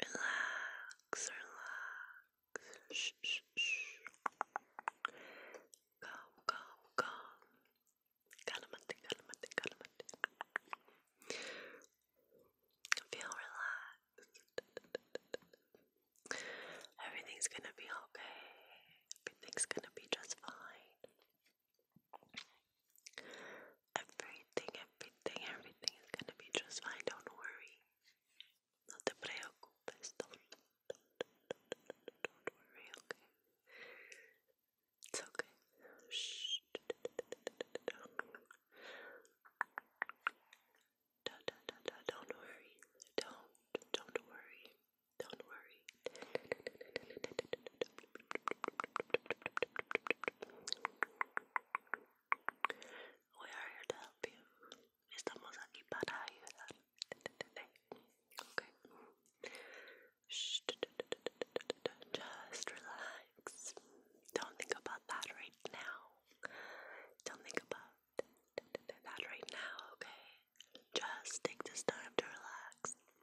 Relax, relax. Shh, shh, shh. Go, go, go. Calamante, calamante, calamante. Feel relaxed. Everything's gonna be okay. Everything's gonna be just fine. Everything, everything, everything is gonna be just fine. Don't worry. No te preocupes. Don't, don't, don't, worry, okay? It's okay. Shh. don't worry. Don't, don't worry. Don't worry. We are here to help you. Estamos aquí para ayudar. Okay. Shh. Just relax. Don't think about that right now. Don't think about that right now, okay? Just take this time to relax.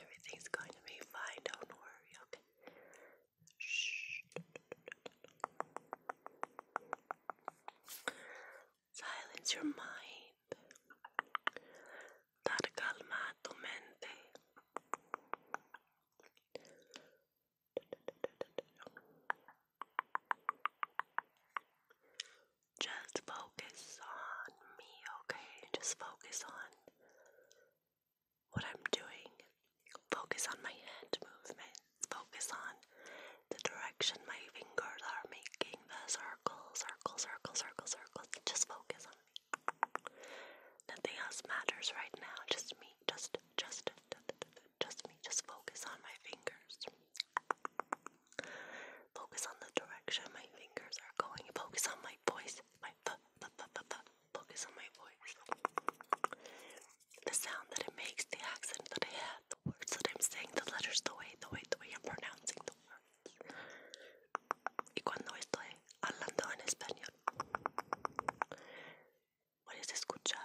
Everything's going to be fine. Don't worry, Shh. Silence your mind. Dar calma tu mente. Just focus on me, okay? Just focus on what I'm doing. Focus on my hand movement. Focus on the direction my fingers are making the circles, circle, circle, circle, circle. Just focus on me. Nothing else matters right now. Just me. Just, just, just me. Just focus on my fingers. Focus on the direction my fingers are going. Focus on my voice. My Focus on my voice. The sound that it makes, the accent that I have, the words that I'm saying, the letters, the way, the way, the way I'm pronouncing the words. What is this, escuchar?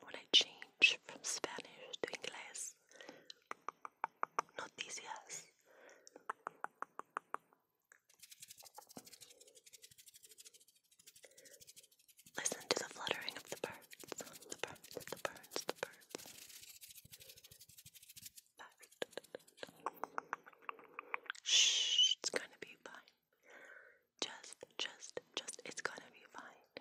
What I change from Spanish to English? Noticias. Listen to the fluttering of the birds, the birds, the birds, the birds. Shh, it's gonna be fine. Just, just, just, it's gonna be fine.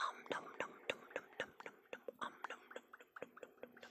Um nom nom nom nom nom nom nom um nom nom nom nom nom nom nom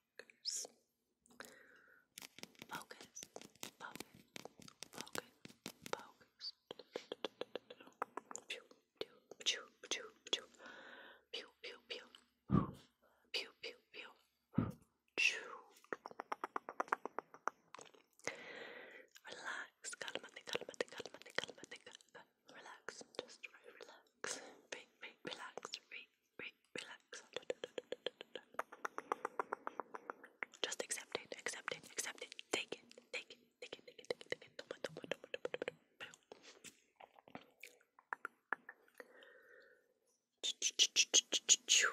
focus, focus, focus, focus, focus. Pew, pew, pew, pew, pew, pew, pew, pew, pew, pew, pew, pew. Relax, calmate, calmate, calmate, calmate, calmate relax, just re relax, re, re relax, re, re relax. Just accept it, accept it, accept it. Take it, take it, take it, take it, take it, take it. Choo,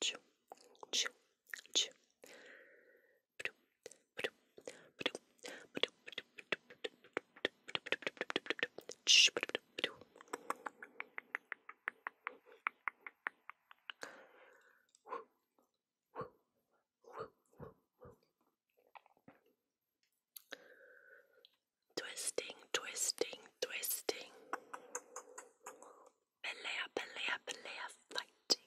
choo, choo, choo, Twisting, twisting, twisting. Pelea, pelea, pelea, fighting.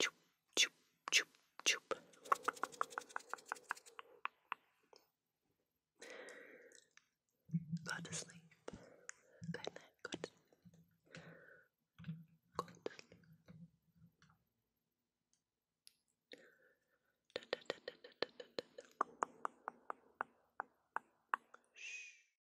Choop, choop, choop, choop. Go to sleep. Good night. Go to Shh.